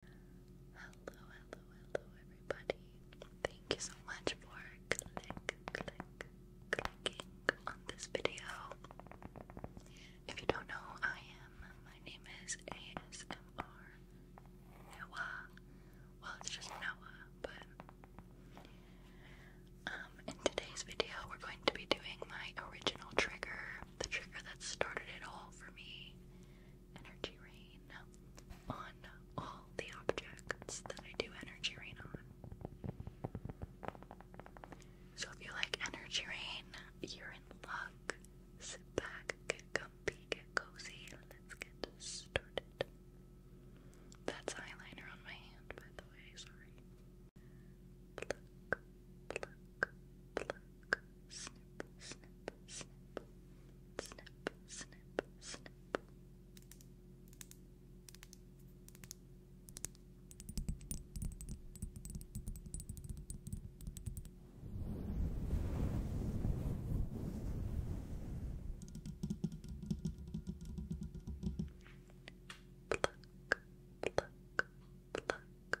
Hello, hello, hello, everybody. Thank you so much for click, click, clicking on this video. If you don't know I am, my name is ASMR Noah. Well, it's just Noah, but. Um, in today's video, we're going to be doing my original trigger, the trigger that started it all for me energy rain on all the objects that I do energy rain on. So if you like energy rain, you're in luck. Sit back, comfy, get cozy, let's get started. That's eyeliner on my hand, by the way, sorry snip, snip, snip, snip, snip, snip. Pluck, pluck, pluck,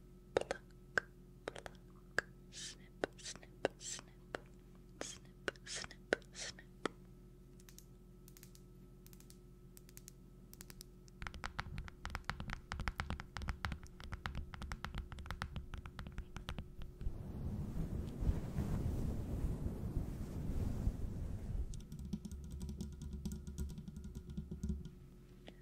pluck, pluck, snip, snip, snip, snip, snip, snip.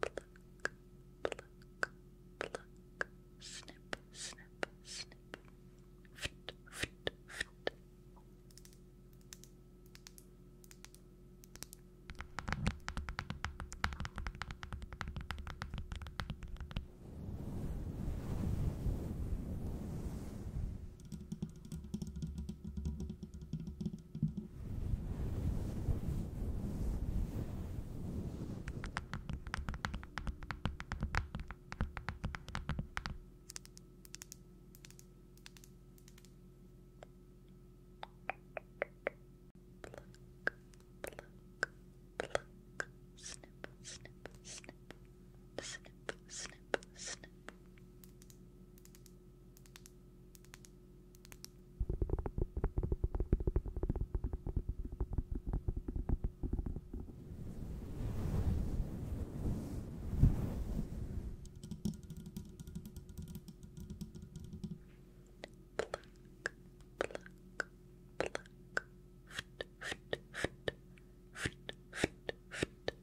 Pluck, pluck, pluck. Snip, snip, snip. Fit, fit, fit. Pluck, Pluck, pluck, snip, snip, snip, snip, snip, snip. Pluck, pluck, fit, fit, fit, fit, fit, fit,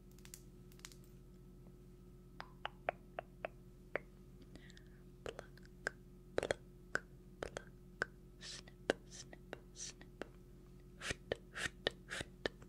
Pluck, pluck, pluck. Snip, snip, snip. Fit, fit, fit. Pluck,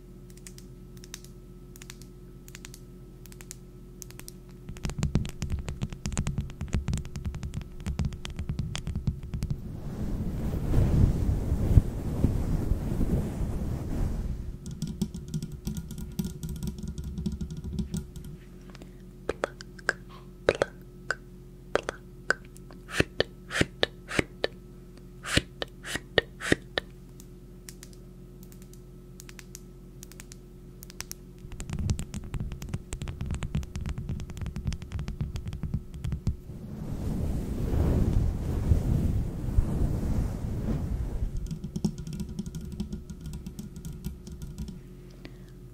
Pluck, pluck, pluck. Fit, fit, fit, fit, fit, fit.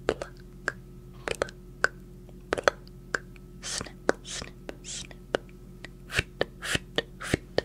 Pluck, pluck, pluck. Snip, snip, snip. Fit, fit, fit.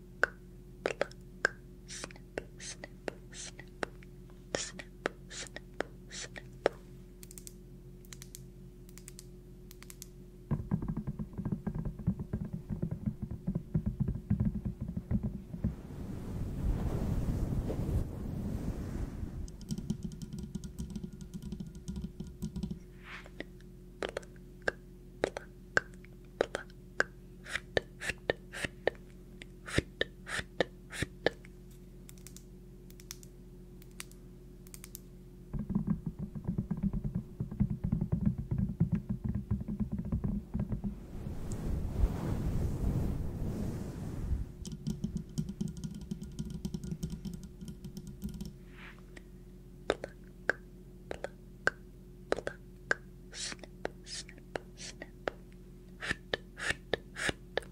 pluck, snip, snip, snip, snip, snip, snip. Pluck, pluck, pluck, ft, ft, ft, ft, ft, ft. Pluck, pluck, pluck, pluck, snip, snip, snip, foot, foot, foot. Pluck,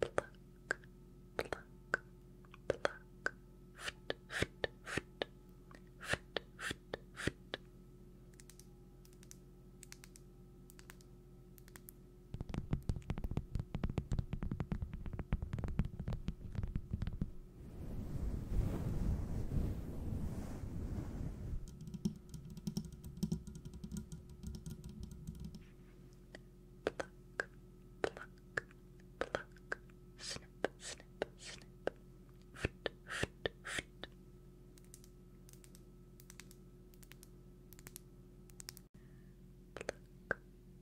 Pluck, pluck, pluck, fit, fit, fit, fit, fit, fit. Pluck, pluck, pluck, snip, snip, snip, foot, foot, foot. Pluck,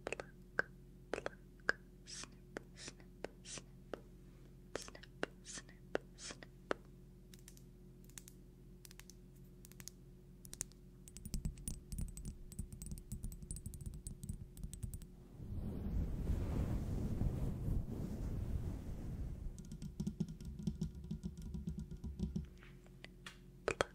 pluck, pluck. Snip, snip, snip. Snip, snip, snip. Pluck,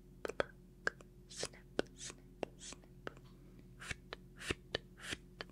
pluck, snip, snip, snip, fit, fit, fit. Pluck,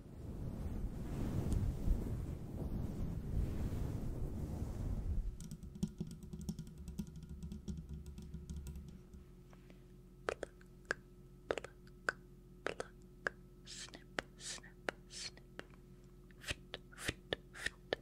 Pluck, pluck, snip, snip, snip. Fit, fit, fit. Pluck, pluck, pluck,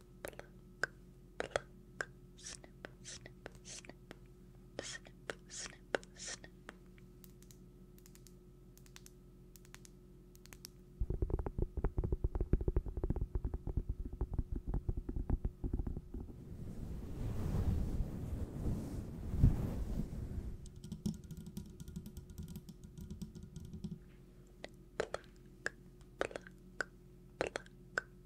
pluck, pluck, snip, snip, snip, snip, snip, snip. Pluck,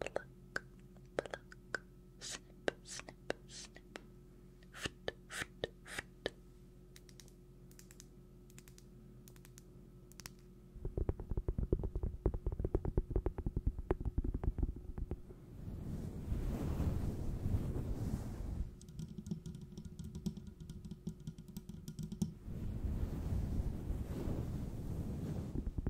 pluck, pluck, snip, snip, snip, fit, fit, fit. Pluck,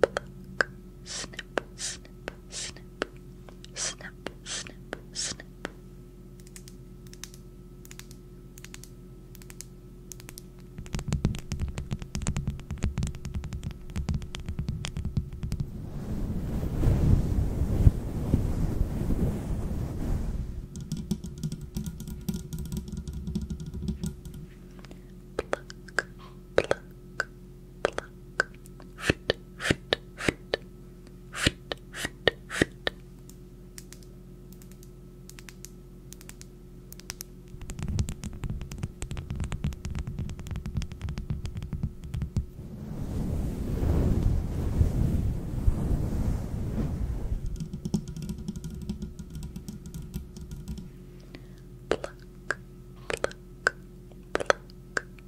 pluck, snip, snip, snip, snip, snip, snip pluck, pluck, fit, fit, fit, fit, fit, fit. Pluck, pluck, pluck, pluck,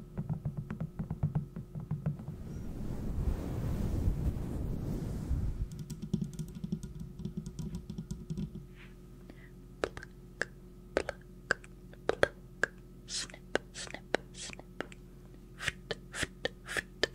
Pluck, pluck, pluck. Snip, snip, snip. Fit, fit, fit. Pluck,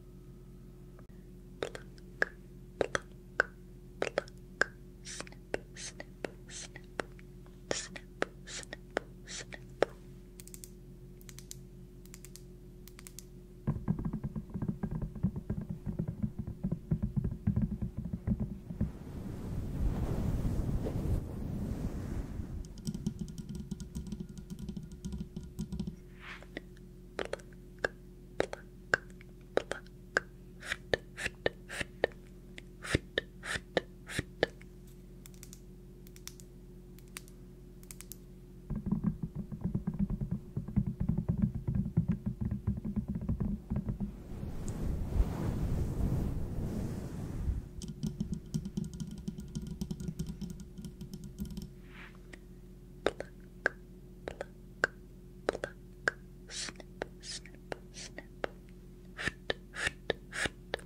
Pluck, pluck, pluck. Snip, snip, snip. Snip, snip, snip. Pluck, pluck, pluck, pluck. Fit, fit, fit, fit, fit, fit. Pluck, Pluck, pluck, pluck. Snip, snip, snip. Fruit, fruit, fruit. Pluck,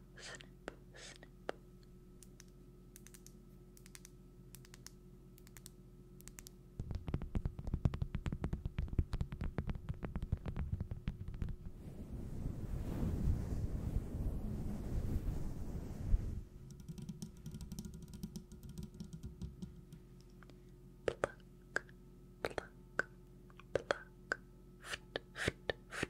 snip, snip. Pluck, pluck, pluck, fit, fit, fit,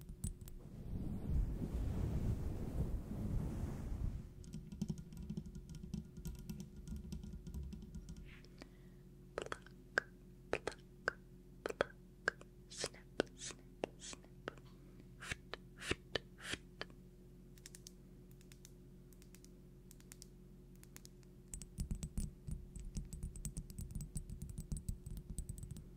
Pluck, pluck, pluck, snip, snip, snip, fit, fit, fit. Pluck, pluck, pluck, Pluck,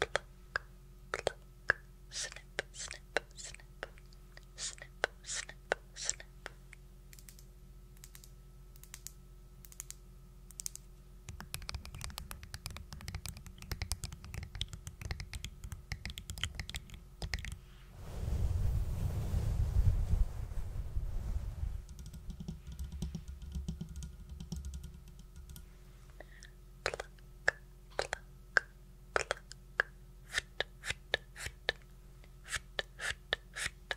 pluck, pluck, snip, snip, snip, snip, snip, snip, snip. Pluck, pluck, pluck, pluck, pluck, ft, ft, ft, ft, ft, ft. Pluck,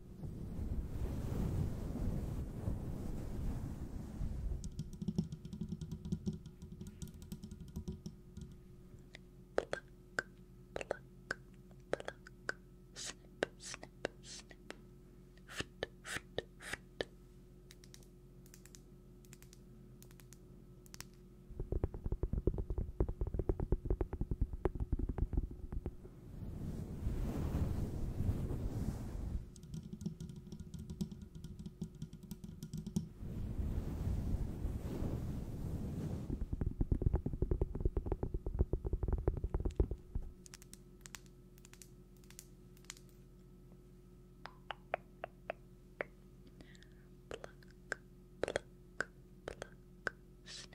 Pluck, pluck, pluck. Snip, snip, snip. Fit, fit, fit. Pluck, pluck, pluck, Pluck, pluck, pluck, snip,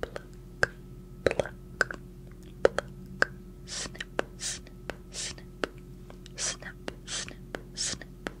Pluck, pluck, pluck. Snip, snip, snip. Snip, snip, snip. Pluck,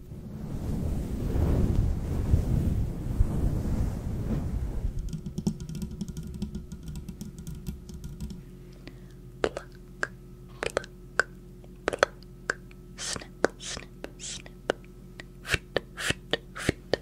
Pluck, pluck, pluck. Snip, snip, snip. Fit, fit, fit. Pluck, pluck, pluck,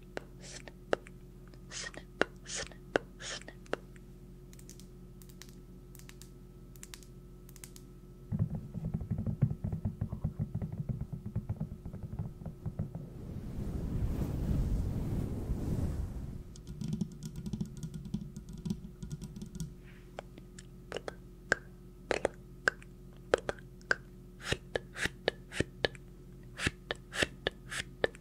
snip, snip, snip, snip, snip. Pluck, pluck, pluck, fit, fit, fit, fit, Pluck, pluck,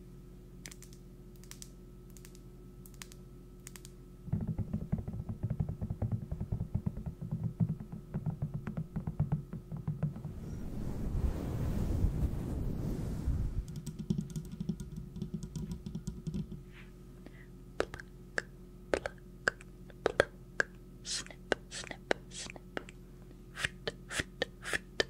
pluck, snip, snip, snip. Fit, fit, fit.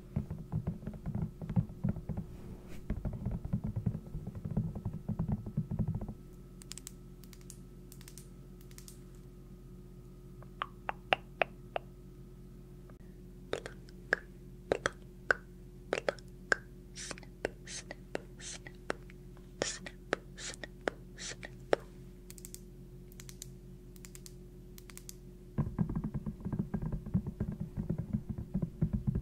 Pluck, pluck, pluck, snip, snip, snip, snip, snip, snip. Pluck,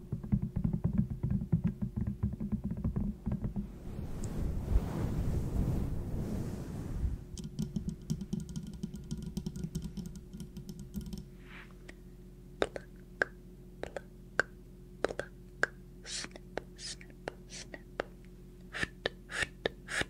Pluck, pluck, snip, snip, snip. Fit, fit, fit.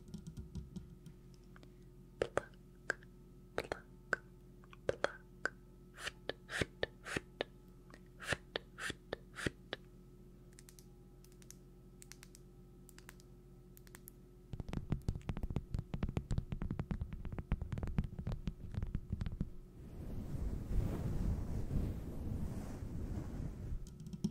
Pluck, pluck, pluck. Fit, fit, fit. Fit, fit, fit. Pluck,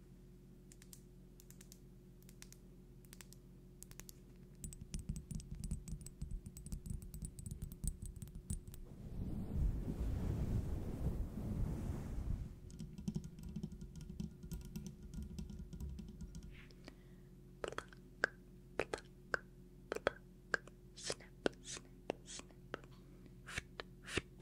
it. Pluck, pluck, pluck, snip, snip, snip, fit, fit, fit,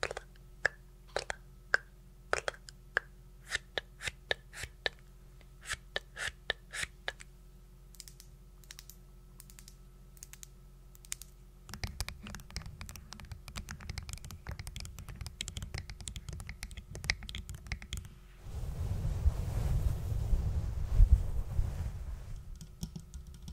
Pluck, pluck, pluck. Fit, fit, fit. Fit, fit, fit. Pluck, Pluck, pluck,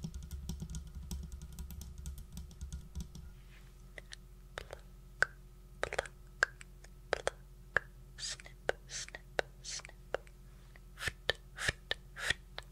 pluck, snip, snip, snip, fit, fit, fit. Pluck, pluck, pluck,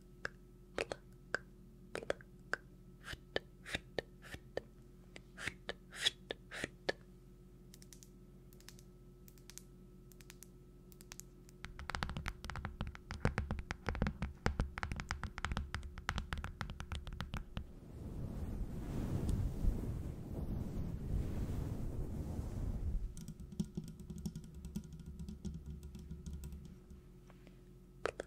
pluck, pluck. Fit, fit, fit, fit, fit, fit. Pluck,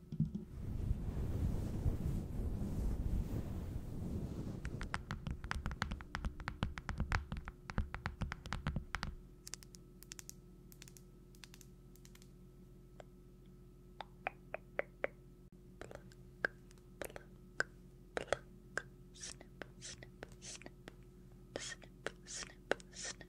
pluck, snip, snip, snip, snip, snip, snip.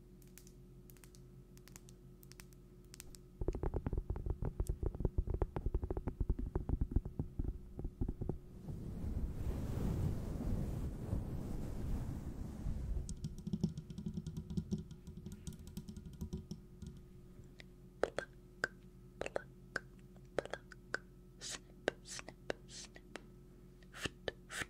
Pluck, pluck, pluck, snip, snip, snip. Foot, foot, foot.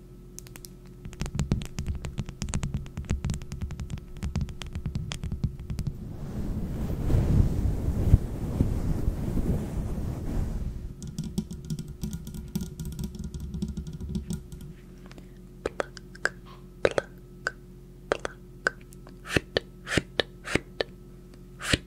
Pluck, pluck, pluck. Fit, fit, fit. Fit, fit, fit.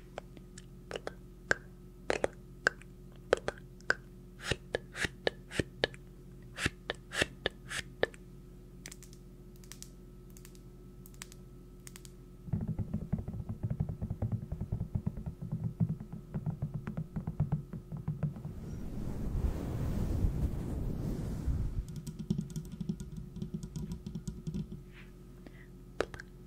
Pluck, pluck, pluck. Fit, fit, fit, fit, fit, fit. Pluck,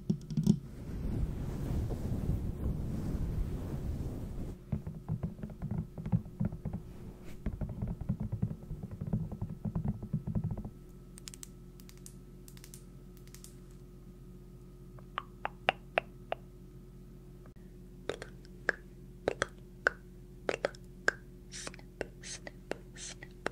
Pluck, pluck, snip, snip, snip,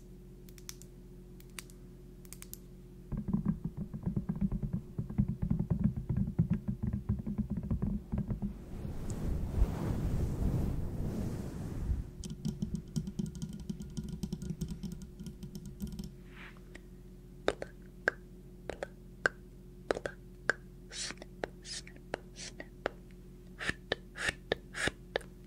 Pluck, pluck, pluck, snip, snip, snip. Fruit, fruit, fruit.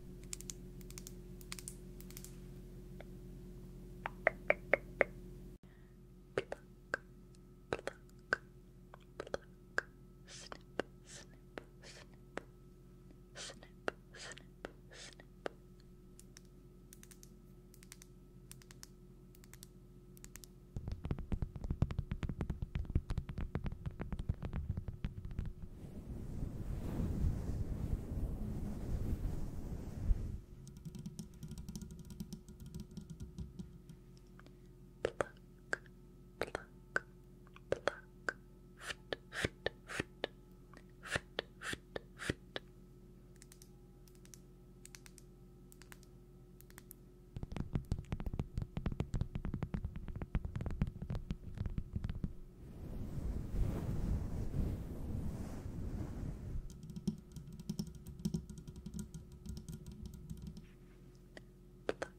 Pluck, pluck, pluck. Snip, snip, snip. Snip, snip, snip. Pluck, pluck, pluck, Pluck, pluck, pluck. Fit, fit, fit. Fit, fit, fit. Pluck, Pluck, pluck,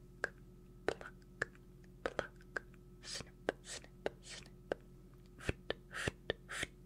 pluck, snip, snip, snip, fit, fit, fit.